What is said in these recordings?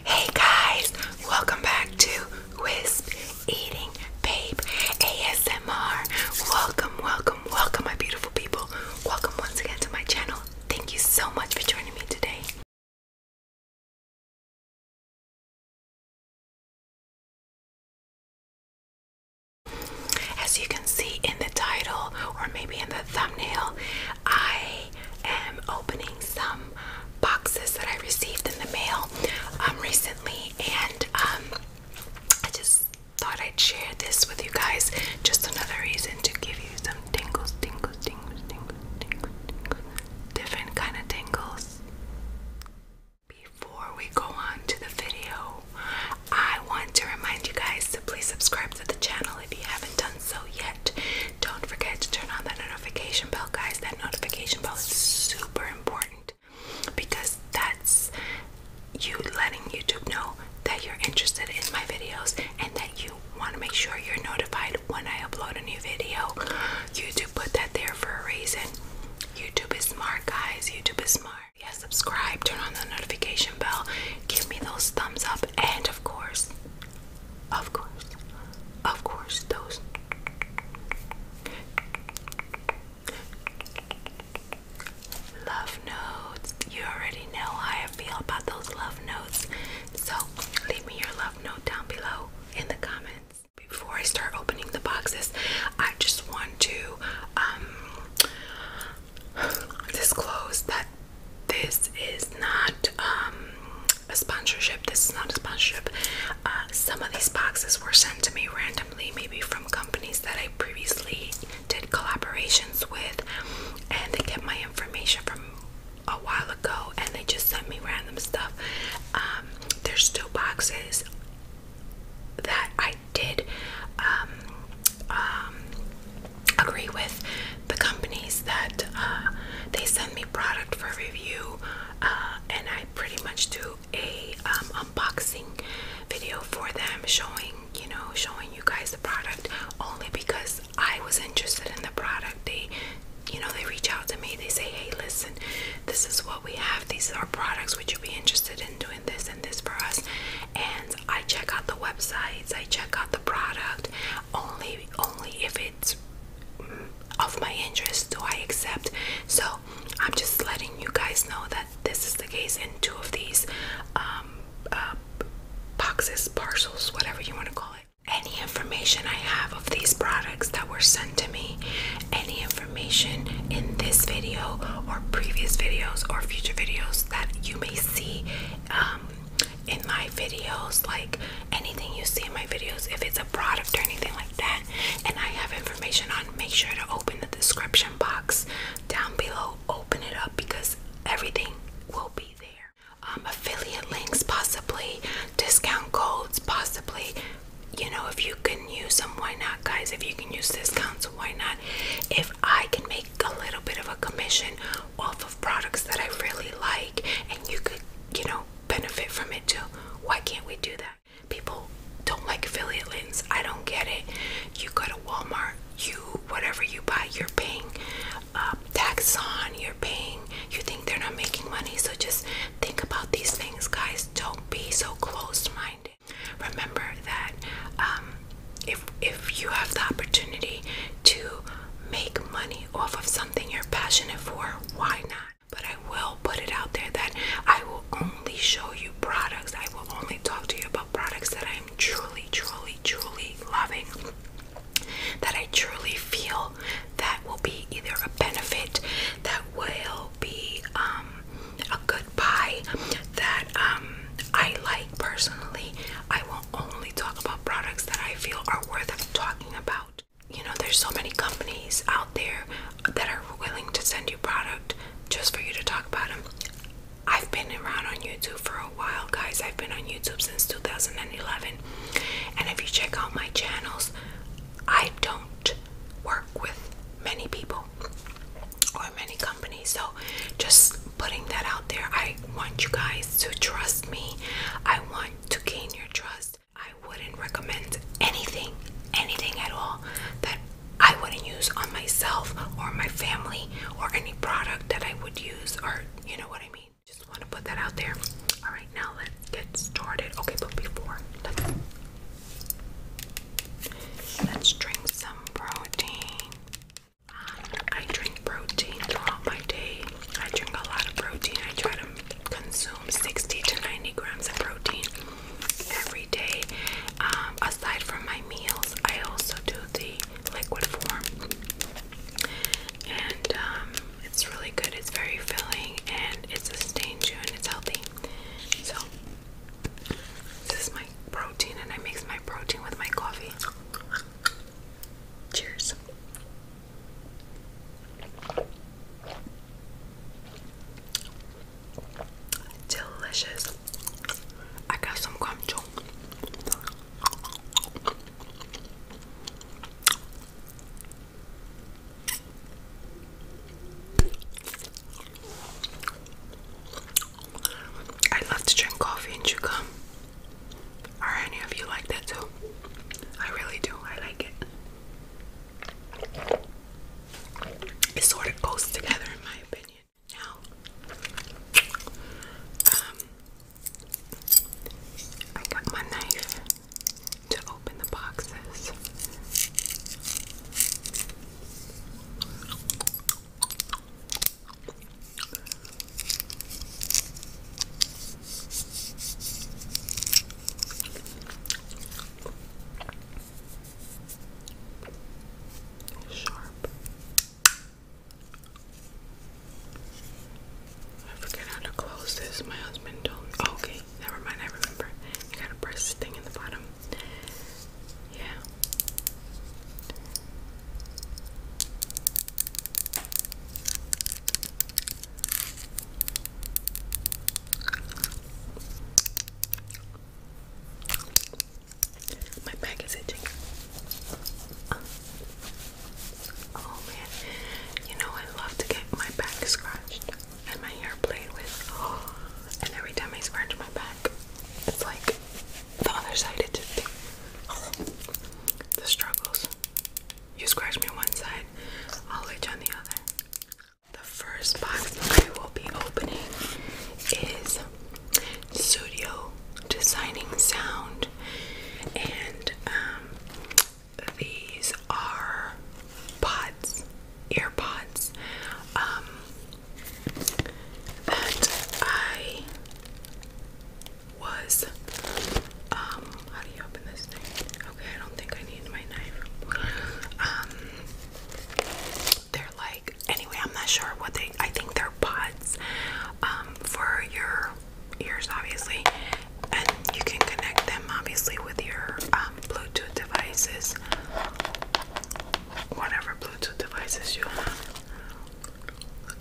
Hey guys, welcome back to Wisp Eating Babe ASMR. Welcome, welcome, welcome, my beautiful people. Welcome once again to my channel. Thank you so much for joining me today. As you can see in the title, or maybe in the thumbnail, I am opening some boxes that I received in the mail um, recently, and um, I just thought I'd share this with you guys. Just another reason to give you some tingles, tingles, tingles, tingles, tingles, tingles. different kind of tingles. Before we go on to the video, I want to remind you guys to please subscribe to the channel if you haven't done so yet, don't forget to turn on that notification bell, guys. That notification bell is super important because that's you letting YouTube know that you're interested in my videos and that you want to make sure you're notified when I upload a new video. YouTube put that there for a reason. YouTube is smart, guys. YouTube is smart. Yeah, subscribe, turn on the notification bell, give me those thumbs up, and of course, of course. Of course, those. Love notes. You already know how I feel about those love notes. So leave me your love note down below in the comments. Before I start opening the boxes, I just want to um, disclose that this is not um, a sponsorship. This is not a sponsorship. Uh, some of these boxes were sent to me randomly, maybe from companies that I previously did collaborations with, and they get my information from a while ago, and they just sent me random stuff. Um, there's still boxes that I did um, um, agree with the companies that uh, they send me product for review, uh, and I pretty much do a um, unboxing video for them, showing you know, showing you guys the product. Only because I was interested in the product, they, you know, they reach out to me. They say, "Hey, listen, this is what we have. These are products. Would you be interested in doing this and this for us?" And I check out the websites. I check out the product only, only if it's of my interest do I accept so I'm just letting you guys know that this is the case in two of these um, uh, boxes parcels whatever you want to call it any information I have of these products that were sent to me any information in this video or previous videos or future videos that you may see um, in my videos, like anything you see in my videos, if it's a product or anything like that, and I have information on, make sure to open the description box down below. Open it up because everything will be there. Um, affiliate links, possibly discount codes, possibly. You know, if you can use them, why not, guys? If you can use discounts, why not? If I can make a little bit of a commission off of products that I really like, and you could, you know, benefit from it too. Why can't we do that? People don't like affiliate links. I don't get it. You go to Walmart, you whatever you buy, you're paying uh, um, tax on. You're paying. You think they're not making money, so just think about these things, guys. Don't be so closed-minded. Remember that um, if if you have the opportunity to make money off of something you're passionate for, why not? But I will put it out there that I will only show you products. I will only talk to you about products that I am truly, truly, truly loving. That I truly feel that will be either a benefit, that will be um, a good buy, that um, I like personally. I will only talk about products that I feel are worth talking about. You know, there's so many companies out there that are willing to send you product just for you to talk about them. I've been around on YouTube for a while, guys. I've been on YouTube since 2011. And if you check out my channels, I don't work with many people or many companies. So, just putting that out there, I want you guys to trust me. I want to gain your trust. I wouldn't recommend anything, anything at all that I wouldn't use on myself or my family or any product that I would use or you know what I mean. Just want to put that out there. All right, now let's get started. Okay, but before let's, drink some protein. I drink protein throughout my day. I drink a lot of protein. I try to consume 60 to 90 grams of protein every day. Um, aside from my meals, I also do the liquid form, and um, it's really good. It's very filling, and it sustains you, and it's healthy. So this is my protein, and I mix my protein with my coffee. Cheers. Delicious. I got some guamchong. I love to drink coffee and chew gum. Are any of you like that too? I really do. I like it. It sort of goes together, in my opinion. Now, um, I got my knife to open the boxes. Sharp. I forget how to close this. My husband told me. Oh, okay, never mind. I remember. You gotta press the thing in the bottom. Yeah. My back is itching. Oh man, you know I love to get my back scratched and my hair played with. and every time I scratch my back, it's like the other side. It just the struggles. You scratch me on one side, I'll hit you on the other. The first box I will be opening is Studio Designing Sound, and um, these are pods, ear pods, um, that I was um, how do you open this thing? Okay, I don't think I need my knife. Um, they're like, anyway, I'm not sure what they, I think they're pods um, for your ears, obviously. And you can connect them, obviously, with your um, Bluetooth devices. Whatever Bluetooth devices you have.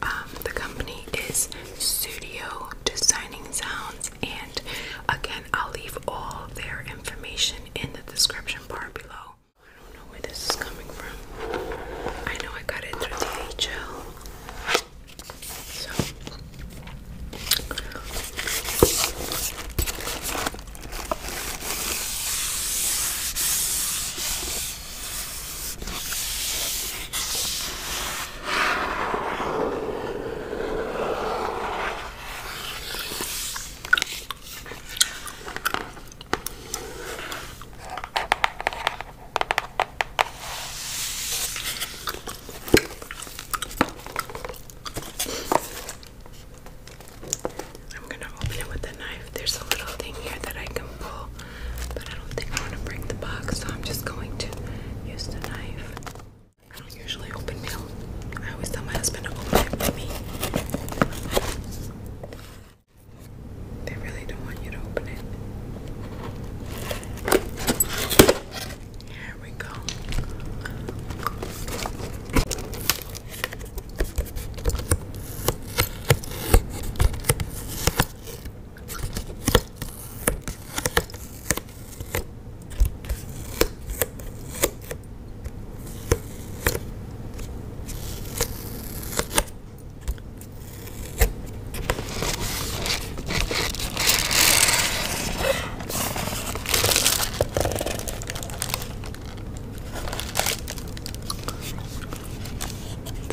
Um, the company is Studio Designing Sounds and again I'll leave all their information in the description bar below. I don't know where this is coming from. I know I got it through the H L. I'm going to open it with a knife. There's a little thing here that I can pull, but I don't think I want to break the box, so I'm just going to use the knife. I don't usually open mail. I always tell my husband to open it for me. They really don't want you to open it. Here we go.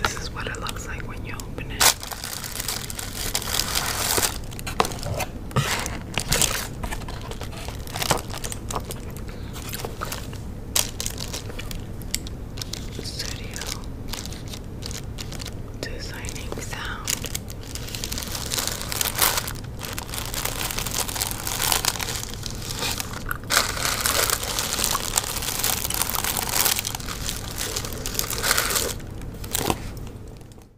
This is what it looks like when you open it. Studio designing sound.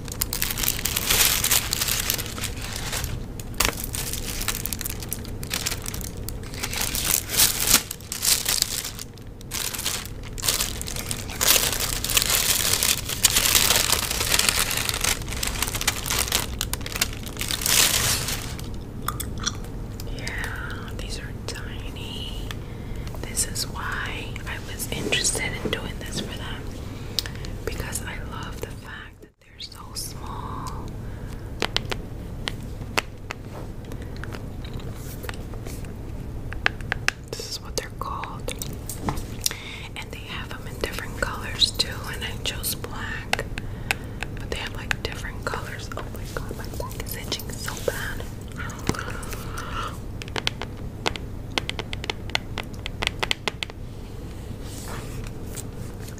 Yeah, these are tiny. This is why I was interested in doing this for them because I love the fact that they're so small. This is what they're called. And they have them in different colors too. And I chose black. But they have like different colors. Oh my god, my back is itching so bad.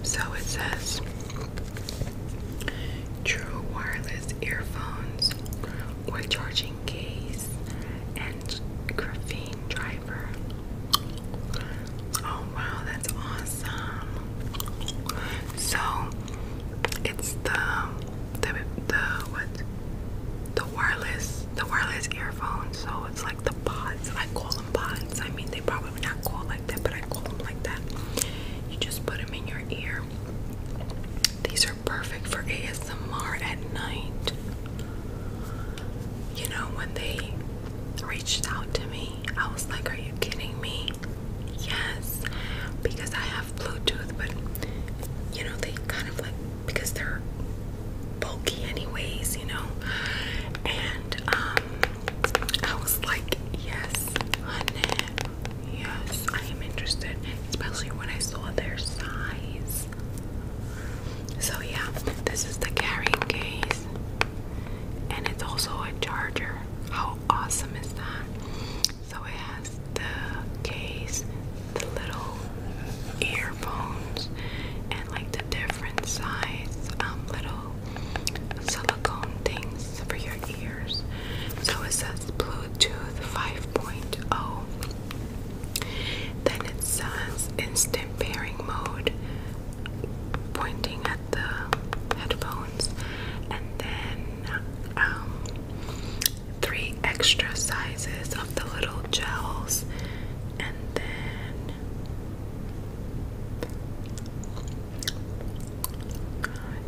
So it says True wireless earphones with charging case and graphene driver. Oh wow, that's awesome. So it's the the the what the wireless the wireless earphones. So so it's like the pods. I call them pods. I mean, they probably not call like that, but I call them like that. You just put them in your ear. These are perfect for ASMR at night. You know, when they reached out to me, I was like, Are you kidding me? Yes, because I have Bluetooth, but you know, they kind of like because they're bulky anyways, you know. And um I was like, yes, honey, yes, I am interested, especially when I saw their size. So yeah, this is the carrying case. And it's also a charger. How awesome is that? So it has the case, the little earphones and like the different size um, little silicone things for your ears. So it says Bluetooth 5.0. Then it says instant pairing mode, pointing at the headphones, and then um, three extra sizes of the little gels and then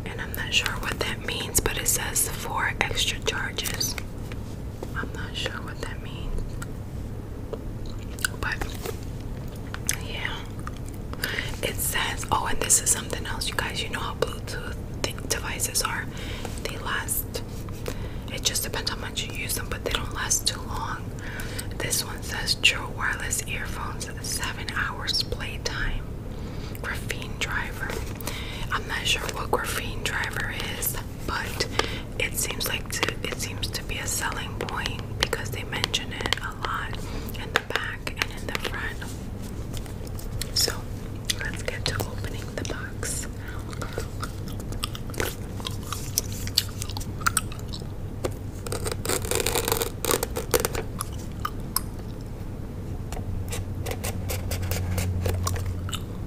and I'm not sure what that means but it says four extra charges I'm not sure what that means but yeah it says oh and this is something else you guys you know how Bluetooth devices are they last. It just depends how much you use them, but they don't last too long. This one says True Wireless Earphones, 7 hours playtime. Graphene driver. I'm not sure what graphene driver is, but it seems like it seems to be a selling point because they mention it a lot in the back and in the front. So let's get to opening the box.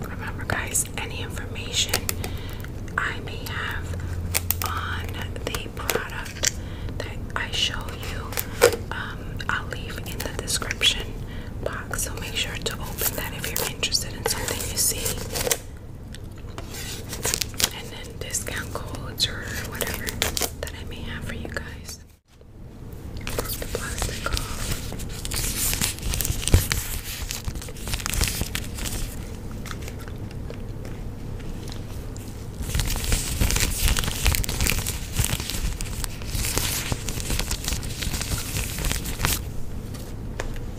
Remember, guys, any information I may have on the product that I show you, um, I'll leave in the description so make sure to open that if you're interested in something you see. And then discount codes or whatever that I may have for you guys.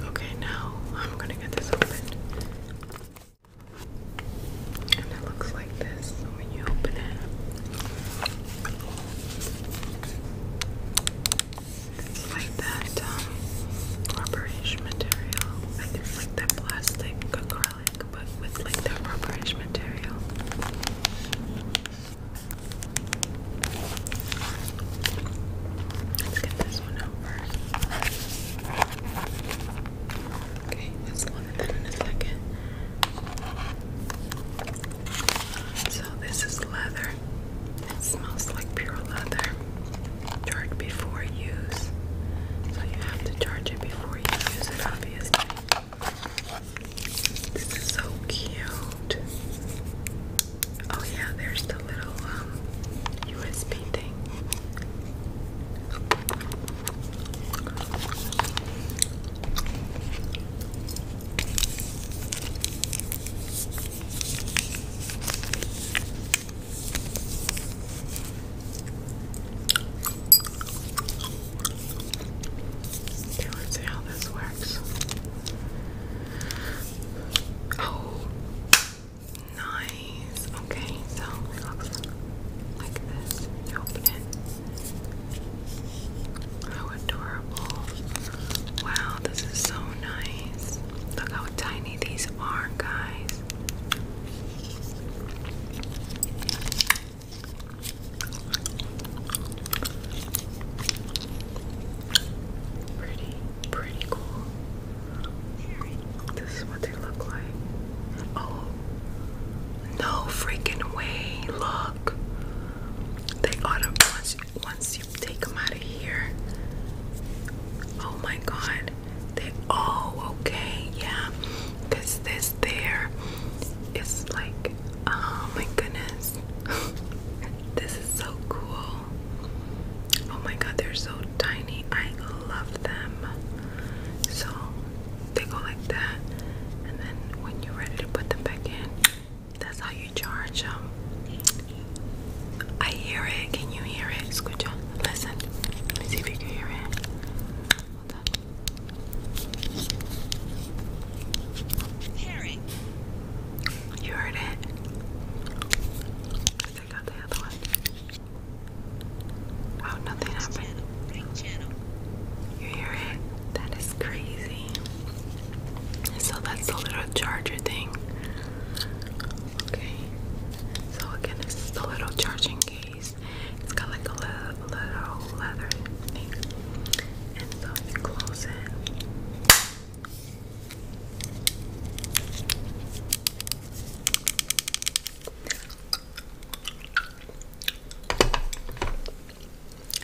Okay, now I'm gonna get this opened. And it looks like this when you open it. It's like that um, rubberish material. it's like that plastic but with like the rubberish material. Let's get this one out first. Okay, this one and then in a second. So this is leather. It smells like pure leather. Charge before use. So you have to charge it before you use it on this is so cute. Oh yeah, there's the little USB um, thing let's see how this works. Oh, nice. Okay, so it looks like this. You open it. How adorable. Wow, this is so nice. Look how tiny these are, guys. Pretty, pretty cool. This is what they look like. Oh, no freaking way! Look, they auto once once you take them out of here. Oh my God, they oh okay yeah. Cause this there, it's like, oh my goodness, this is so cool. Oh my god, they're so tiny. I love them. So they go like that, and then when you're ready to put them back in, that's how you charge them. I hear it. Can you hear it, Scoocha? Listen. Let me see if you can hear it. You heard it. I think the other one. Wow, oh, nothing happened. You hear it? That is crazy. So that's the little charger thing. Okay. So again, this is the little charging case. It's got like a little, leather thing. And so you close it.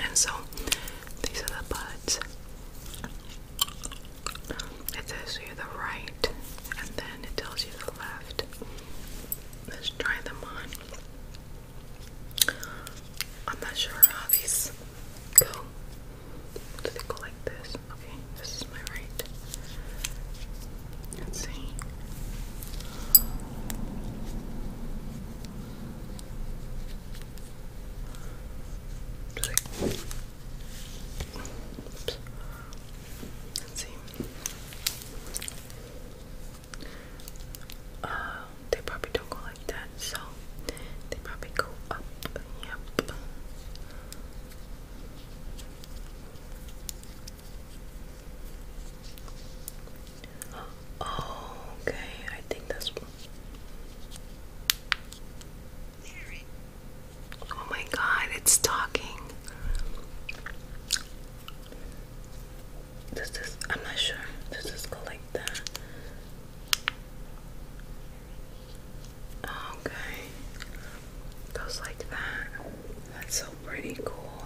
And so these are the buds. It tells you the right and then it tells you the left. Let's try them on. I'm not sure how these go. Do they go like this? Okay, this is my right. Let's see. Do they Oops. Let's see. Um, they probably don't go like that, so they probably go up. Yep. okay. I think that's. Oh my god, it's talking. Does this, I'm not sure. Does this go like that? Okay. Goes like that. That's so pretty cool.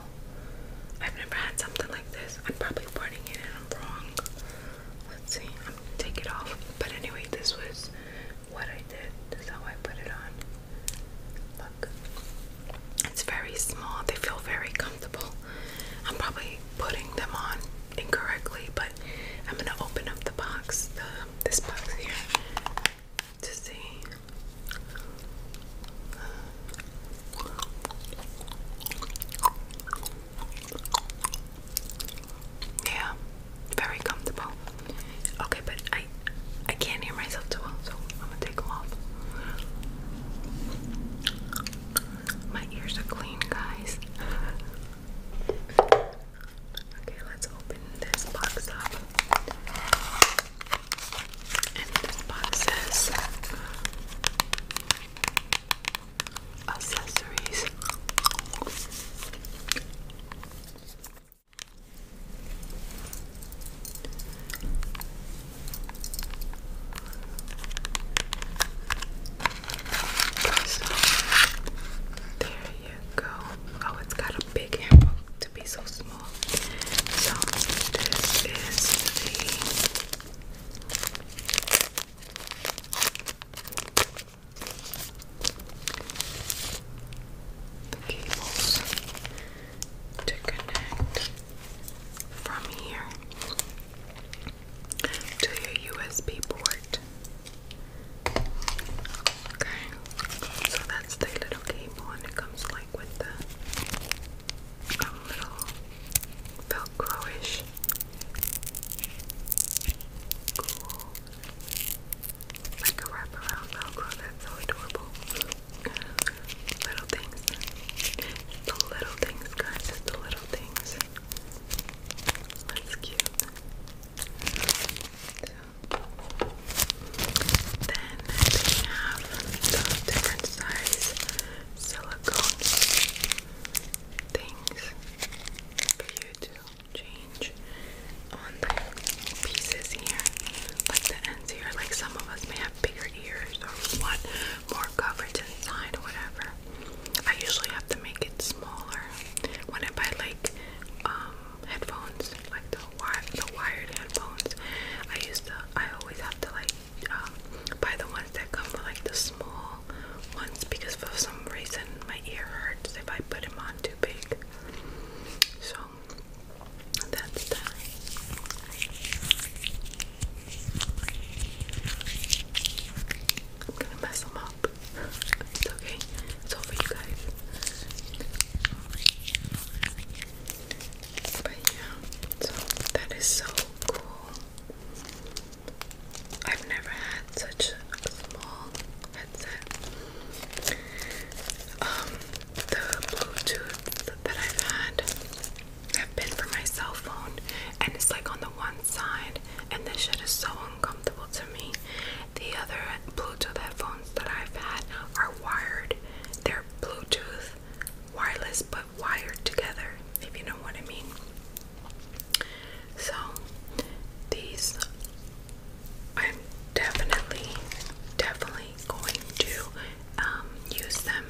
I've never had something like this. I'm probably putting it in wrong. Let's see. I'm going it off. But anyway, this was what I did. This is how I put it on. Look, it's very small. They feel very comfortable. I'm probably putting them on incorrectly, but I'm gonna open up the box, this box here, to see. Yeah, very comfortable. Okay, but I I can't hear myself too well, gonna take them off. My ears are clean, guys. Okay, let's open this box up. And this box says accessories. So there you go. Oh, it's got a big handbook to be so small. So this is the cables to connect from here to your USB port. Okay, so that's the little cable, and it comes like with the um, little velcro ish. Cool. Like a wraparound velcro, that's so adorable. Little things. The little things, guys. the little things. That's cute. then they have the different size silicone things for you to change on the pieces here, like the difference here. Like some of us may have bigger ears or want more coverage inside or whatever. I usually have to make it smaller when I buy like um, headphones, like the wire, the wired headphones. I used to, I always have to like um, buy the ones that come with like the small ones because for some reason my ear hurts if I put them on too big. So that's time. mess them up. It's okay. It's all for you guys. But yeah, so that is so cool. I've never had such a small headset. Um, the Bluetooth that I've had have been for my cell phone, and it's like on the one side, and this shit is so uncomfortable to me. The other Bluetooth headphones that I've had are wired. They're Bluetooth wireless, but wired together, if you know what I mean. So, these I'm definitely, definitely definitely going to um, use them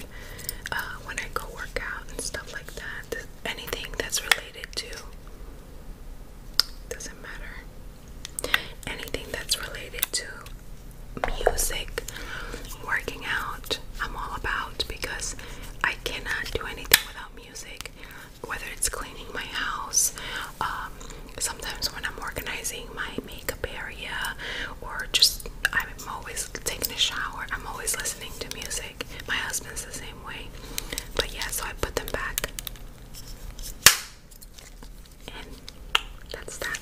uh, when I go work out and stuff like that. Anything that's related to doesn't matter. Anything that's related to music, working out, I'm all about because I cannot do anything without music. Whether it's cleaning my house, um, sometimes when I'm organizing my makeup area or just I'm always taking a shower. I'm always listening to music. My husband's the same way. But yeah, so I put them back. And that's that.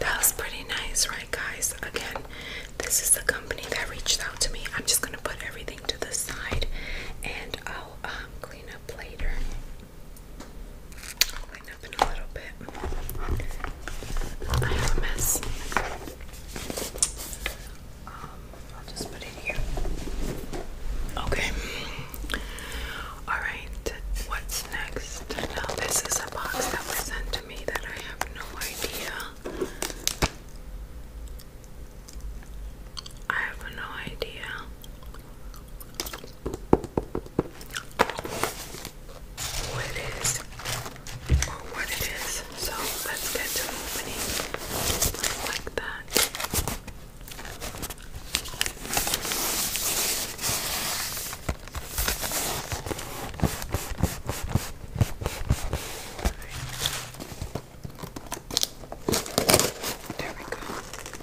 That was pretty nice, right, guys? Again, this is the company that reached out to me. I'm just gonna put everything to the side and I'll um, clean up later. Clean up in a little bit. I have a mess. Um, I'll just put it here. Okay. Alright, what's next? this is a box that was sent to me that I have no idea. I have no idea what it is or what it is. So let's get to opening like that. There we go.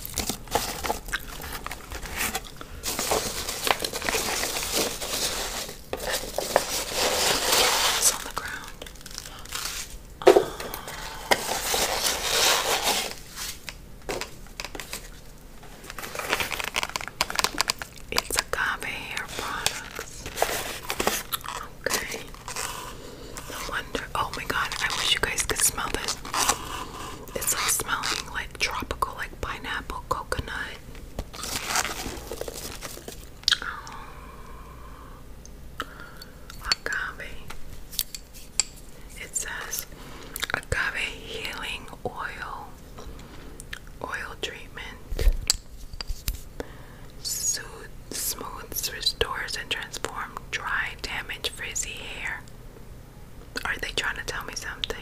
It's on the ground. Uh, it's agave hair product. Okay. No wonder. Oh my god, I wish you guys could smell this. It's like smelling like tropical, like pineapple, coconut. Oh. agave. It says agave healing oil, oil treatment, soothes, smooths, restores, and transforms dry, damaged, frizzy hair. Are they trying to tell me something?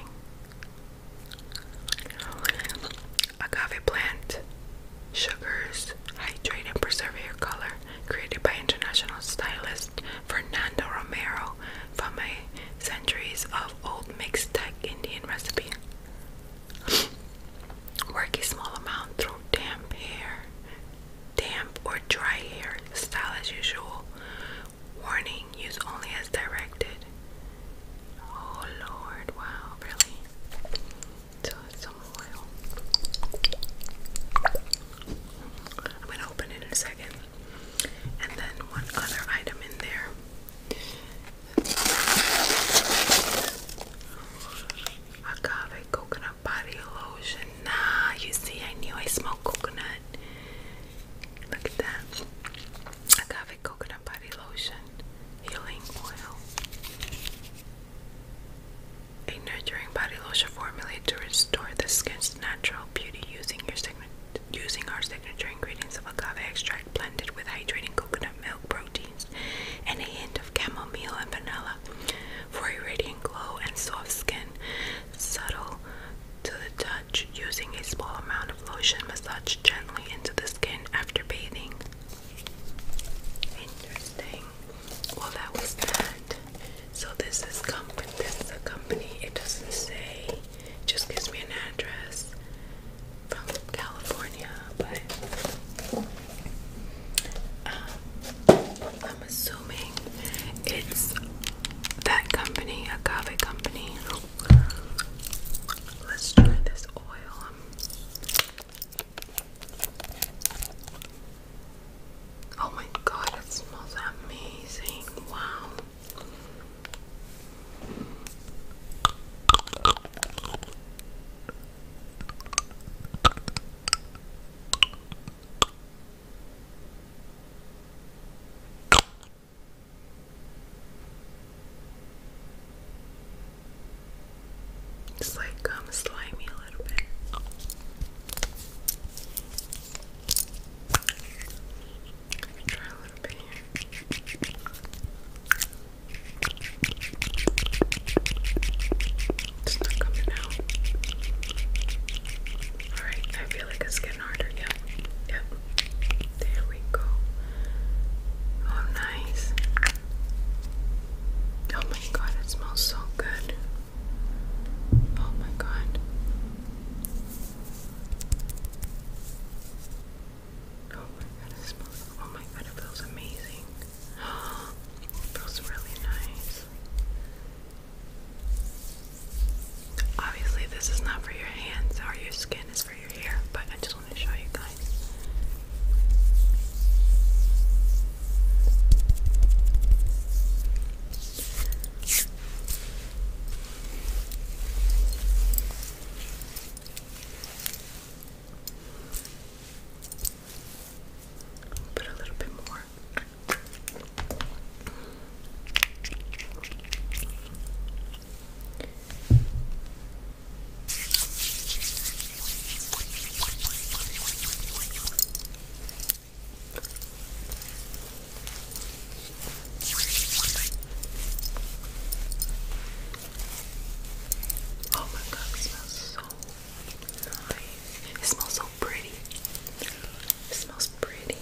Agave plant sugars hydrate and color created by international stylist Fernando Romero from centuries of old mixed Indian recipe. Work a small amount through damp hair damp or dry hair, style as usual. Warning, use only as directed. Oh lord, wow, really? some oil. I'm gonna open it in a second. And then one other item in there. Agave coconut body lotion. Nah, you see, I knew I smelled coconut. Look at that. Agave coconut body lotion, healing oil. A nurturing body lotion formulated to restore the skin's natural beauty using our signature ingredients of agave extract blended with hydrating coconut milk proteins and a hint of chamomile and vanilla for a radiant glow and soft skin subtle to the touch, using a small amount of lotion massage gently into the skin after bathing. Interesting. Well, that was that. So this is company. This is a company. It doesn't say. just gives me an address from California, but um, I'm assuming it's that company, agave company. Let's try this oil. Oh my god, it smells amazing. Wow. It's like um slimy a little bit. me try a little bit here. It's not coming out. Alright, I feel like it's getting harder. Yep, yep. There we go. Oh, nice. Oh my god, it smells so good. Oh my god. Oh my god, it smells. Oh my god, it feels amazing. feels really nice. Obviously, this is not for your hands or your skin, it's for your hair, but I just want to show you guys. Put a little bit more. Oh my god, it smells so nice. It smells so pretty. It smells pretty.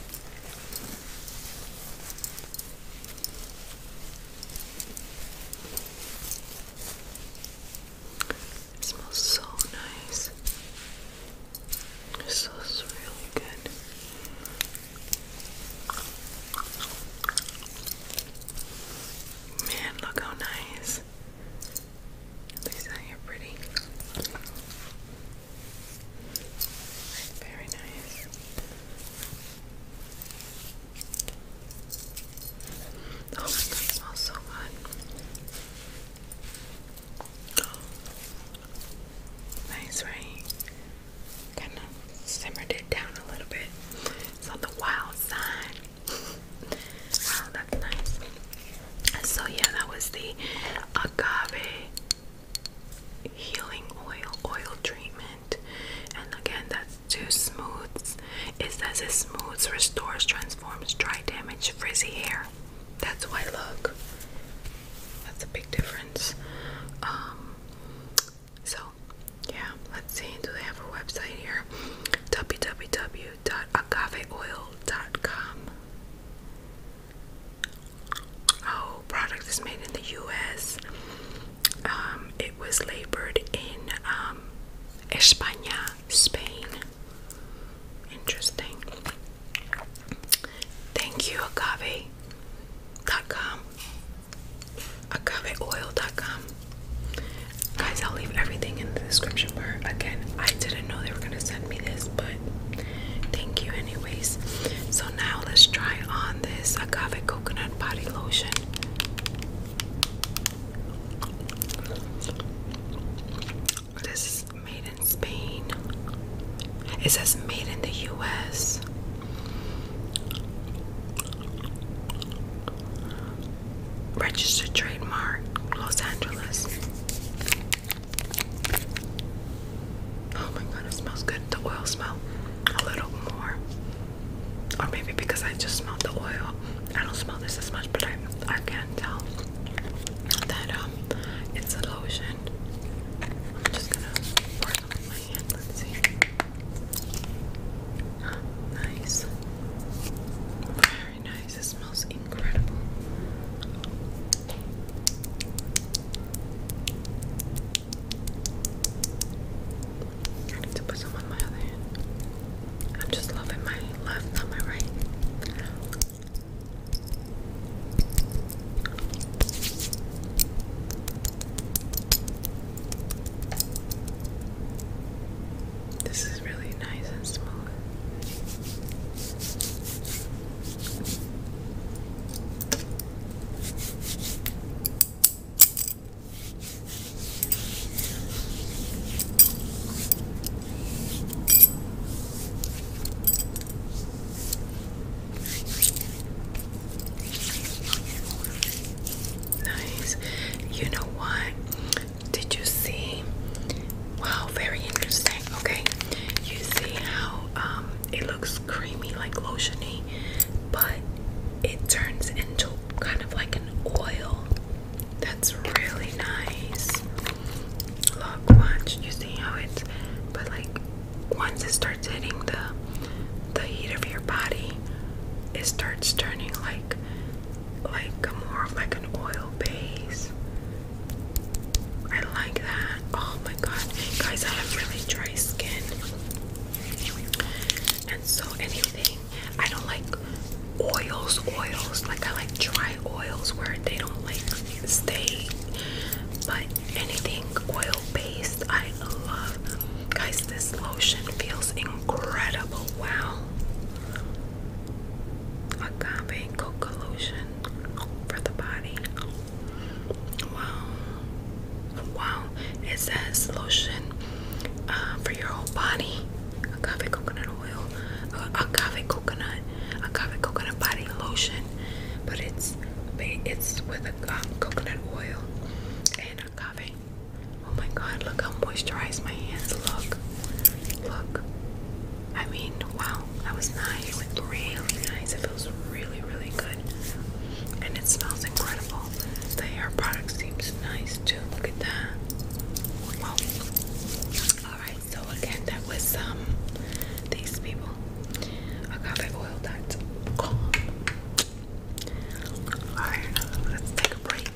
It smells so nice. It smells really good. Man, look how nice. At least you're pretty. Very nice. Oh my god, smells so good. Nice, right? Kind of simmered it down a little bit. It's on the wild side. Wow, that's nice. So yeah, that was the agave healing oil oil treatment. And again, that too smooths. It says it smooths, restores, transforms dry, damaged, frizzy hair. That's why look. That's a big difference. Um so yeah, let's see. Do they have a website here? www.agaveoil.com Oh, product is made in the U.S. Um, it was labored in um, España, Spain. Interesting. Thank you, agave.com. Agaveoil.com. Guys, I'll leave everything in the description bar. Again, I didn't know they were going to send me this, but Thank you, anyways. So now let's try on this agave coconut body lotion. This is made in Spain. It says made in the US. Registered trademark Los Angeles. Oh my god, it smells good. The oil smell a little more. Or maybe because I just smelled the oil. I don't smell this as much, but I I can tell that um, it's a lotion. I'm just gonna pour it on my hand. Let's see. nice. Very nice. It's smells incredible. I need to put some on my other hand. I'm just loving my left, not my right. This is really nice and smooth. Nice. You know what? Did you see? Wow, very interesting. Okay, you see how um, it looks creamy, like lotiony, but it turns into kind of like an oil. That's really nice. Look, watch. You see how it's, but like once it starts hitting the the heat of your body, it starts turning like like a more of like an oil base. I like that. Oh my god. Guys, I have really dry skin. And so anything, I don't like oils, oils. Like I like dry oils where they don't like stay. But anything oil based, I love. Guys, this lotion feels incredible. Wow. Agave coca lotion for the body. Wow. Wow. It says lotion uh, for your whole body. Agave coconut oil. Uh, coconut. Agave coconut body lotion. But it's it's with a um, coconut oil and agave. Oh my god, look how moisturized my hands look. Look. I mean, wow, that was nice. It was really nice. It feels really, really good. And it smells incredible. The hair product seems nice too. Look at that. Wow. Alright, so again, that was um these people. Agave oil that's Alright, let's take a break.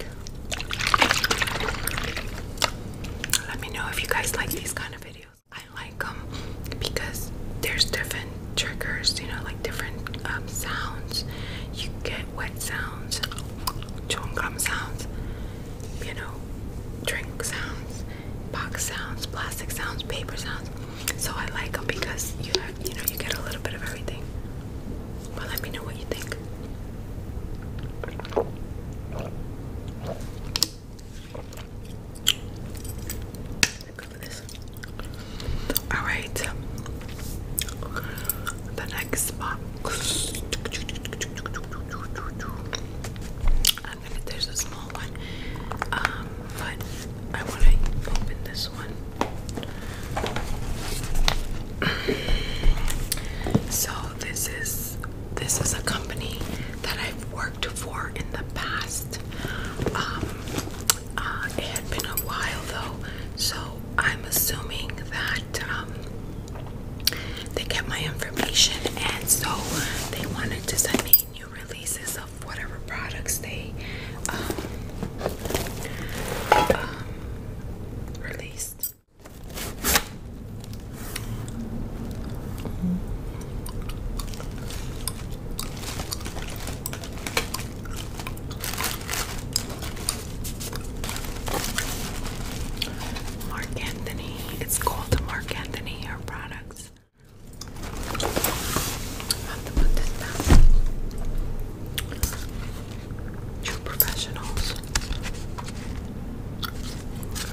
Let me know if you guys like these kind of videos. I like them because there's different triggers, you know, like different um, sounds. You get wet sounds, chewing gum sounds, you know, drink sounds, box sounds, plastic sounds, paper sounds. So I like them because you have, you know, you get a little bit of everything. But let me know what you think. All right. The next box. I'm gonna. There's a small one, um, but I want to open this one. so this is this is a company that I've worked for in the past. Um, uh, it had been a while though, so I'm assuming that um, they get my information, and so they wanted to send me new releases of whatever products they um, released. Mark Anthony. It's called Mark Anthony Hair Products. have to put this down. True professionals. Think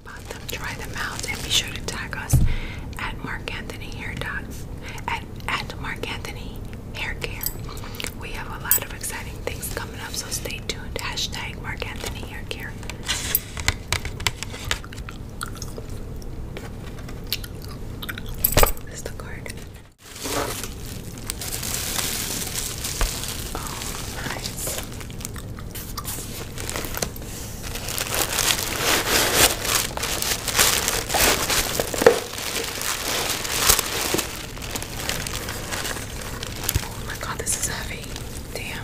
about them, try them out, and be sure to tag us at Mark Anthony Hair At at Mark Anthony hair care. We have a lot of exciting things coming up, so stay tuned. Hashtag Mark Anthony Hair Care. This is the card. nice. Oh my god, this is heavy. Damn.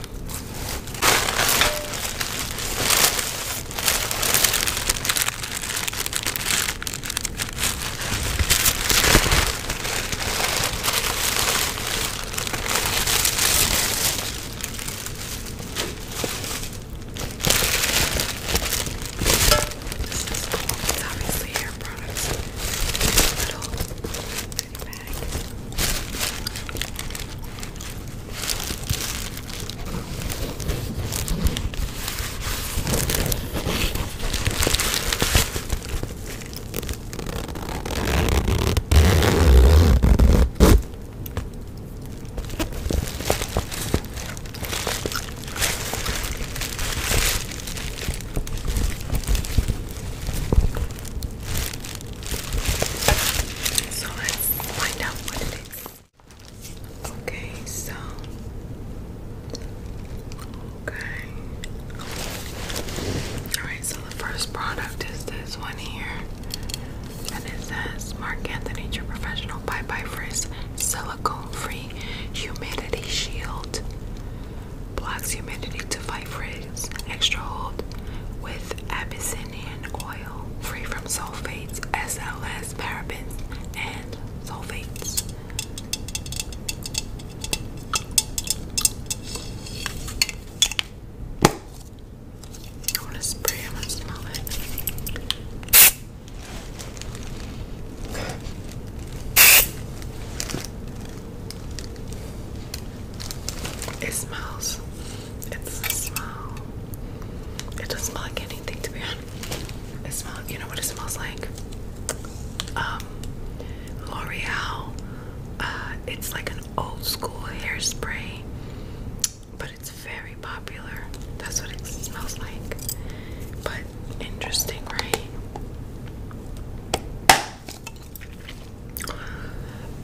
This is cool. It's obviously hair products. Little bag. So let's find out what it is. Okay, so okay. Alright, so the first product is this one here. And it says Mark Anthony Professional Bye Bye Frizz Silicone free humidity shield. Blocks humidity to fight frizz. Extra hold with Abyssinian oil. Free from sulfates, SLS, parabens, and sulfates. I want to spray. I'm to smell it. It smells. It's a It doesn't smell like anything to be honest. It smells you know what it smells like? Um L'Oreal. Uh, it's like an old school hairspray. But it's very popular. That's what it smells like. But interesting, right?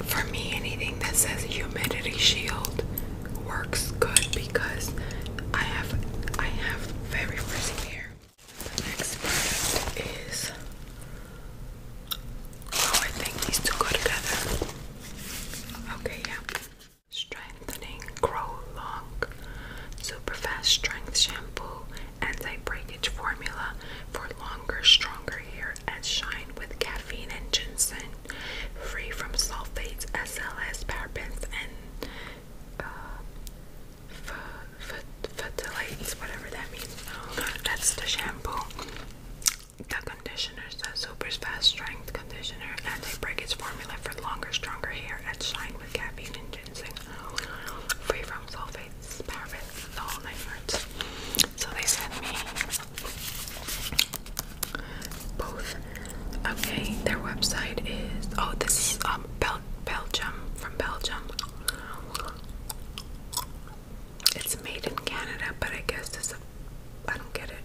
For me, anything that says humidity shield works good because I have I have very frizzy hair. The next product is oh I think these two go together. Okay, yeah. Strengthening Grow Long Superfast Strength Shampoo Anti Breakage Formula for Longer, Stronger Hair and Shine with Caffeine and Ginseng. Free from sulfates, SLS, parabens, and uh, phthalates, whatever that means. Oh, that's the shampoo. The conditioner, the super fast strength conditioner and a breakage formula for longer, stronger hair and shine with caffeine and ginseng. Free from sulfates, parabens, the whole So they sent me both. Okay, their website is oh this is um, Bel Belgium from Belgium. It's made in Canada, but I guess it's a I don't get it.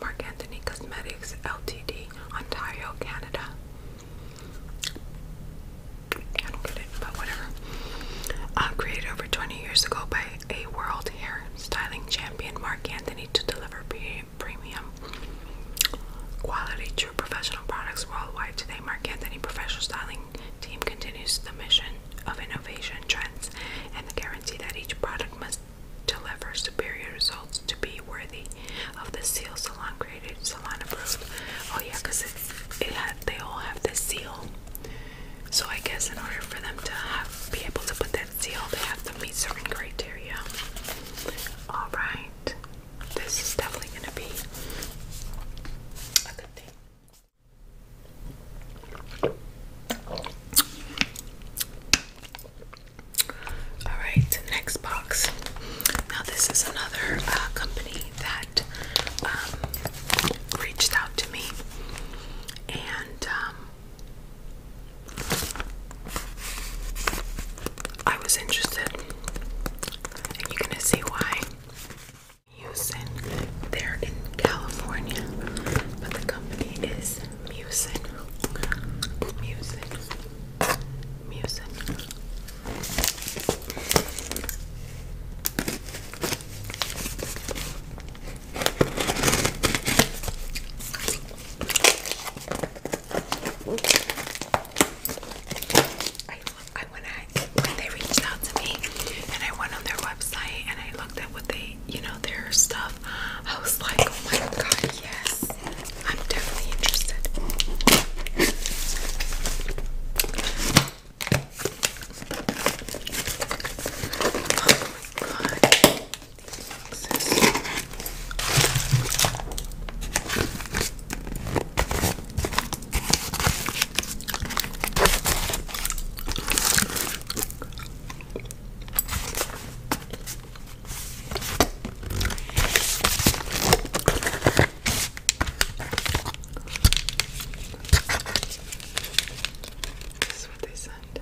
Mark Anthony Cosmetics Ltd, Ontario, Canada. I don't get it, but whatever. Uh, created over 20 years ago by a world hair styling champion, Mark Anthony, to deliver premium quality, true professional products worldwide. Today, Mark Anthony Professional Styling Team continues the mission of innovation, trends, and the guarantee that each product must to deliver superior results to be worthy of the seal salon graded salon approved. Oh yeah, because it, it had, they all have this seal. So I guess in order for them to be able to put that seal, they have to meet certain criteria. All right, this is definitely gonna be a good thing. All right, next box. Now this is another uh, company that um, reached out to me, and um, I was interested, and you're gonna see why. Houston, they're in California, but the company is Music. Music. Music. I, I when I when they reached out to me and I went on their website and I looked at what they you know their stuff I was like, oh my god, yes. I'm definitely interested. Oh my god. These this is what they send.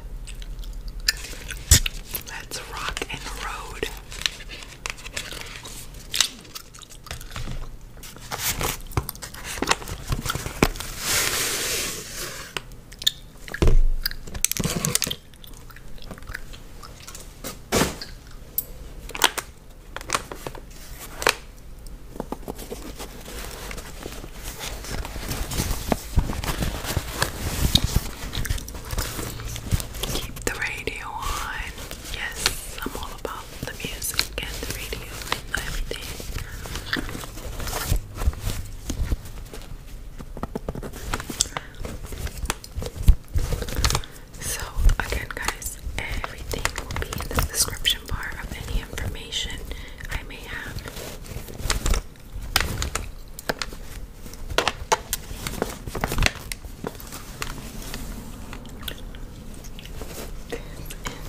Let's rock and road. Keep the radio on. Yes, I'm all about the music and the radio and everything. So, again, guys, everything will be in the description bar of any information I may have.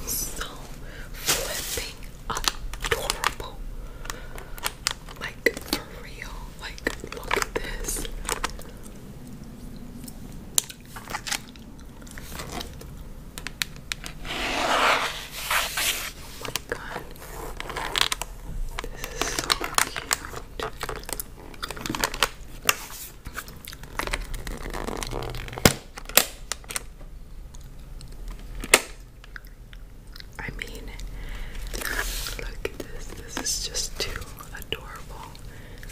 This is so flipping adorable. Like, for real. Like, look at this. Oh my god. This is so cute. I mean, look at this. This is just too adorable.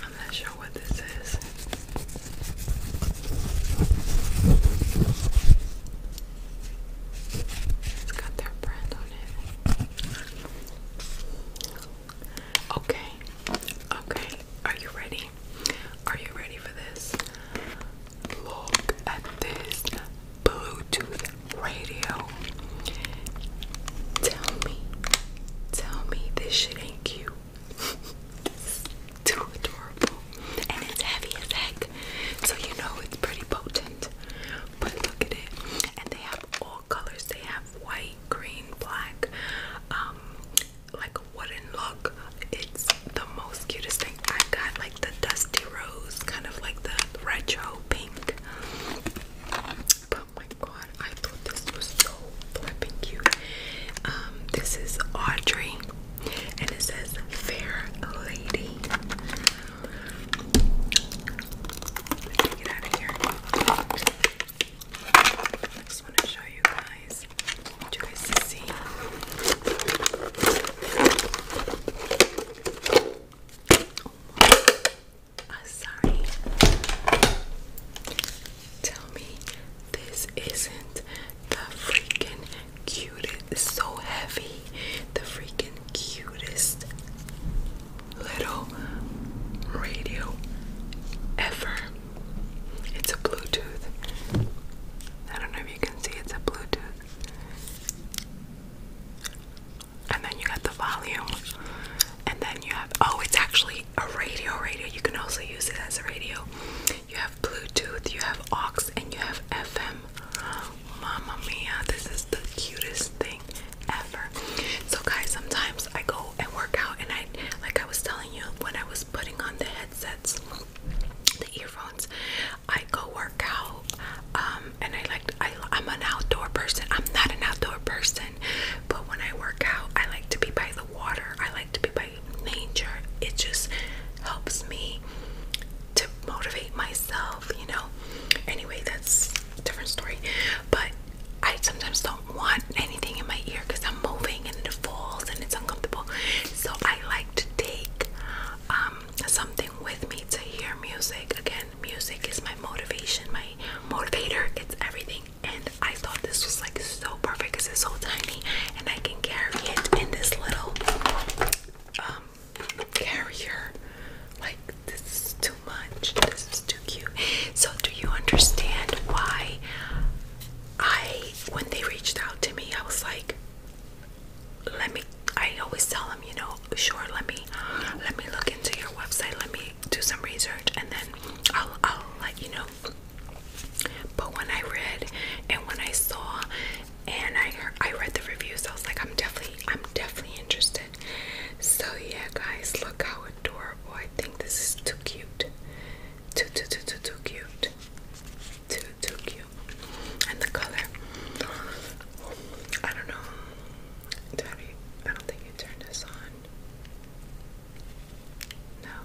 I'm not sure what this is. It's got their brand on it. Okay. Okay. Are you ready? Are you ready for this? Look at this Bluetooth radio. Tell me, tell me this shit ain't cute. too adorable. And it's heavy as heck. So you know it's pretty potent. But look at it. And they have all colors. They have white, green, black, um, like a wooden look. It's the most cutest thing. I got like the dusty rose, kind of like the retro pink it. my god, I thought this was so flipping cute. Um, this is Audrey, and it says Fair Lady. get out of here. I just want to show you guys. I you guys see. Oh uh, sorry. Tell me this isn't the freaking cutest. It's so heavy. The freaking cutest little radio ever. It's a Bluetooth. I don't know if you can see it's a Bluetooth and then you got the volume, and then you have oh, it's actually a radio. Radio, you can also use it as a radio. You have Bluetooth, you have aux, and you have FM. Mamma mia, this is the cutest thing ever. So, guys, sometimes I go and work out, and I like I was telling you when I was putting on the headsets, the earphones, I go work out um, and I like I I'm an outdoor person. I'm not an outdoor person, but when I work out, I like to be by the water. I like to be by nature. It just helps me to motivate myself, you know. Anyway, that's different story. But I sometimes don't want anything in my ear because I'm moving and it falls and it's uncomfortable. So I like to take um, something with me to hear music. Again, music is my motivation, my motivator, it's everything. And I thought this was like so perfect because it's so tiny and I can carry it in this little um, carrier. Like this is too much. This is too cute. So do you understand why I when they reached out to me I was like let me I always tell them, you know, sure, let me let me look into your website, let me do some research, and then I'll I'll let you know. But when I read and when I saw and I heard, I read the reviews, I was like, I'm definitely I'm definitely interested. So yeah, guys, look how adorable! I think this is too cute, too too too too too cute, too too cute, and the color. I don't know. Daddy, I don't think you turned this on. No,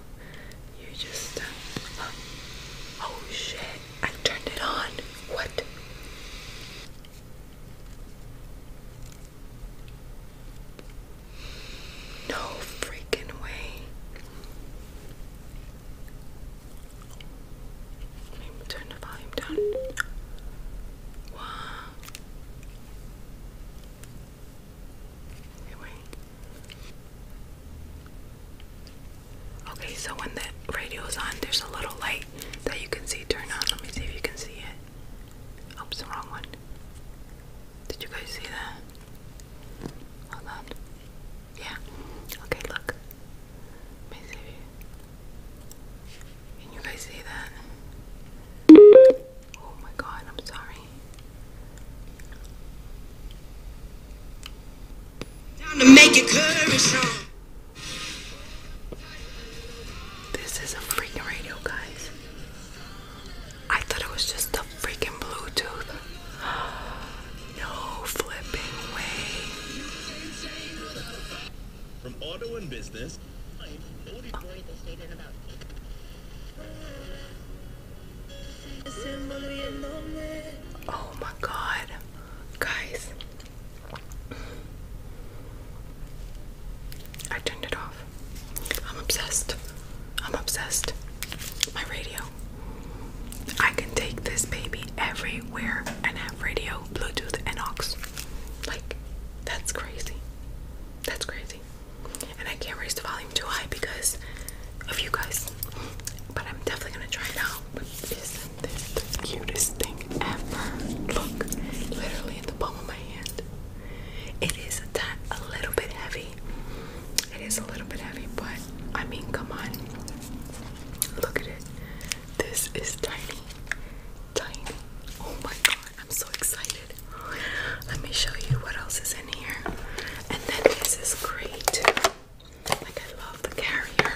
you just. Uh, oh shit! I turned it on. What? No freaking way. Let me turn the volume down. Wow. Anyway. Okay, so when the radio's on, there's a little light that you can see turn on. Let me see if you can see it. Oops, oh, wrong one. Did you guys see that? Hold on. Yeah. Okay, look. Let me see. Can you guys see that? Oh my god, I'm sorry. This is a freaking radio, guys. I thought it was just the freaking Bluetooth. no flipping way. From auto and business Oh my god, guys. I turned it off. I'm obsessed. I'm obsessed. My radio. I can take this baby everywhere and have radio, Bluetooth, and aux. Like, that's crazy. That's crazy. And I can't raise the volume too high because of you guys. But I'm definitely gonna try it out. But isn't this the cutest thing ever? Look, literally in the palm of my hand. It is a little bit heavy. It is a little bit heavy, but I mean, come on. Look at it. This is tiny, tiny. Oh my god, I'm so excited. Let me show you what else is in here. And then this is great. Like, I love the carrier.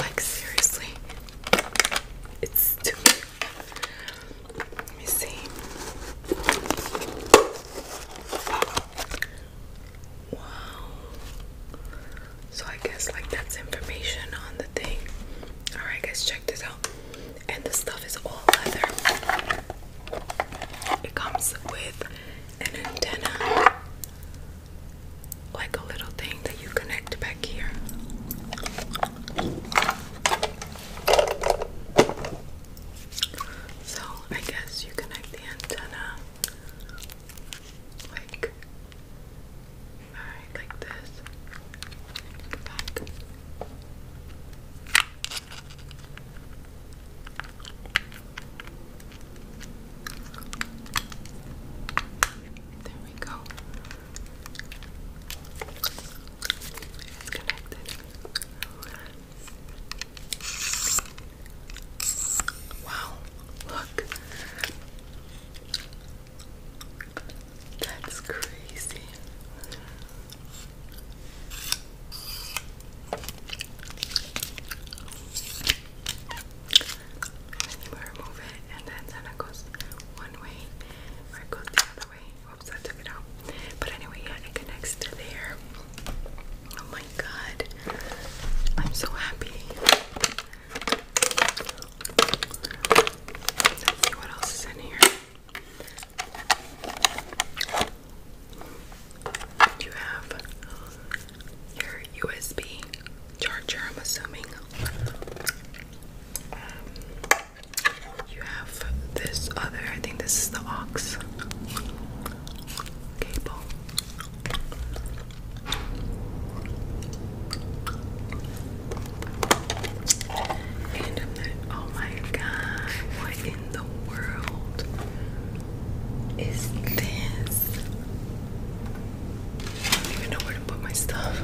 Like, seriously, it's too cute. Let me see. Wow. So I guess like that's information on the thing. Alright guys, check this out. And the stuff is all leather. It comes with an antenna. Like a little thing that you connect back here. So I guess you connect the antenna like Alright, like this. There we go. It's connected. Wow, look. That's crazy. And you remove it, and then Santa goes one way, or it goes the other way. Oops, I took it out. But anyway, yeah, it connects to there. Oh my god. I'm so happy. You have your USB charger, I'm assuming. Um, you have this other, I think this is the aux cable oh my god, what in the world is this? I don't even know where to put my stuff.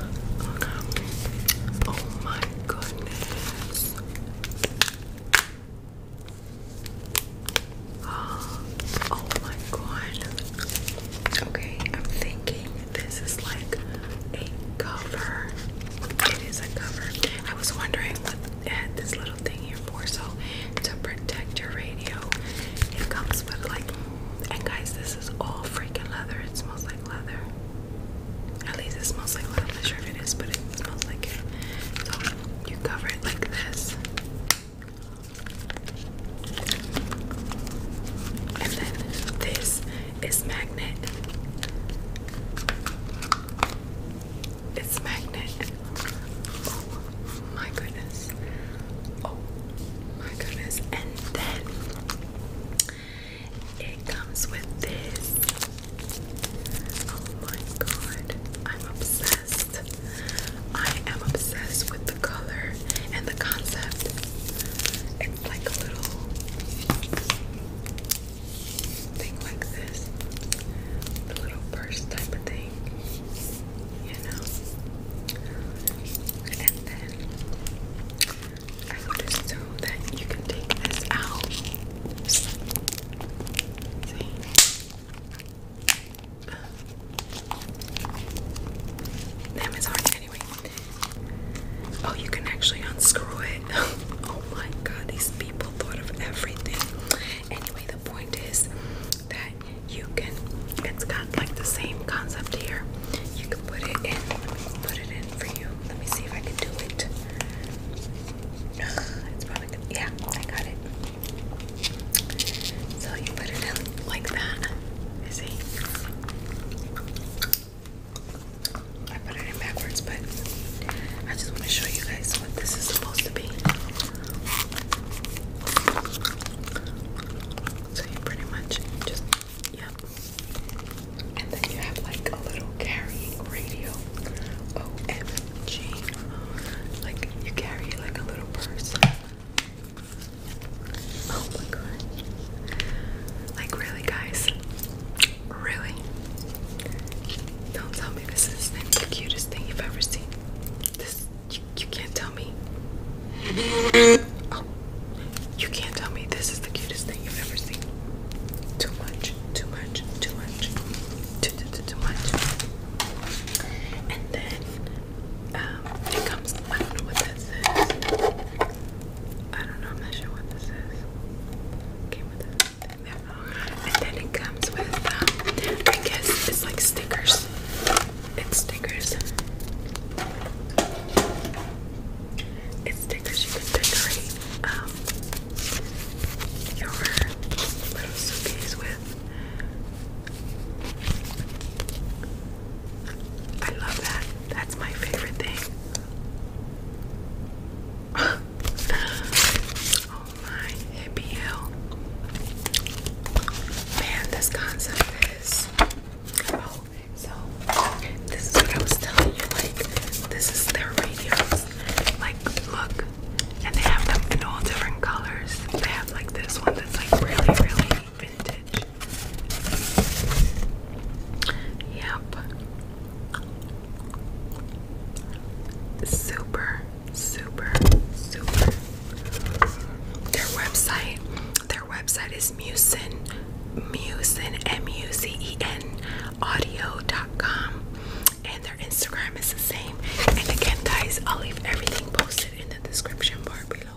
oh my goodness. Oh, oh my god. Okay, I'm thinking this is like a cover. It is a cover. I was wondering what they had this little thing here for. So to protect your radio, it comes with like. And guys, this is all freaking leather. It smells like leather. At least it smells like leather. I'm not sure if it is, but it smells like it. So you cover it like this. And then this it's magnet. It's magnet. Oh my goodness. Oh my goodness. And then it comes with this. Oh my god. I'm obsessed. I am obsessed with the color and the concept. It's like a little thing like this. The little purse type of thing. You know? And then I noticed that you can take this out. Damn, it's hard anyway. Oh, you can actually unscrew it. oh my god, these people thought of everything. Anyway, the point is that you can, it's got like the same concept here. You can put it in. Let me put it in for you. Let me see if I can do it. It's probably Yeah, I got it. So you put it in like that. You I put it in backwards, but I just want to show you guys what this is supposed to be. So you pretty much just, yep. And then you have like a little carrying radio. OMG. Like you carry like a little purse. Oh my god! Like, really, guys? Really? Don't tell me this is the cutest thing you've ever seen. This, you, can't tell me. Oh. you can't tell me this is the cutest thing you've ever seen. Too much, too much, too much, too, too, too, too much. And then, um, it comes, I don't know what that says. I don't know, I'm not sure what this is. Came with this. And then it comes with, um, I guess it's like stickers. It's stickers. It's stickers you can decorate um, your little suitcase with. I love that. That's my favorite thing oh my happy hell. Man, this concept is oh, so this is what I was telling you, like this is their radios. Like look, and they have them in all different colors. They have like this one that's like really, really Yep. Super, super, super. Their website, their website is Musen, Musen, M-U-Z-E-N, audio.com. And their Instagram is the same. And again, guys, I'll leave everything posted in the description bar below.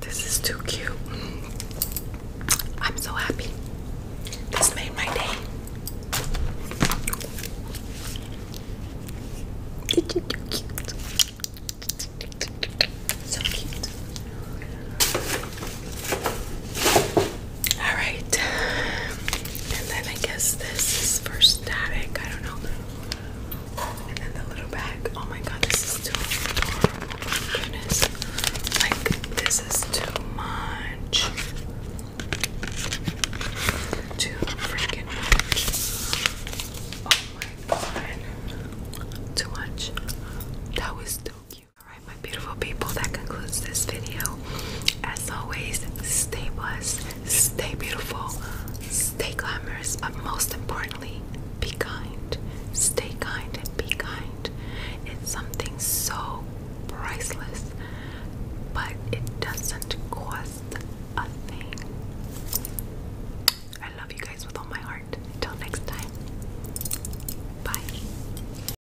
This is too cute. I'm so happy. This made my day. So cute. All right. And then I guess this is for static. I don't know. And then the little bag. Oh my god, is too adorable. My goodness. Like, this is too much. Too freaking much. Oh my god. Too much. That was too cute. Alright, my beautiful people, that concludes this video. As always, stay blessed, stay beautiful, stay glamorous, but most important be kind, stay kind, and be kind. It's something so priceless, but it doesn't cost a thing. I love you guys with all my heart. Until next time, bye.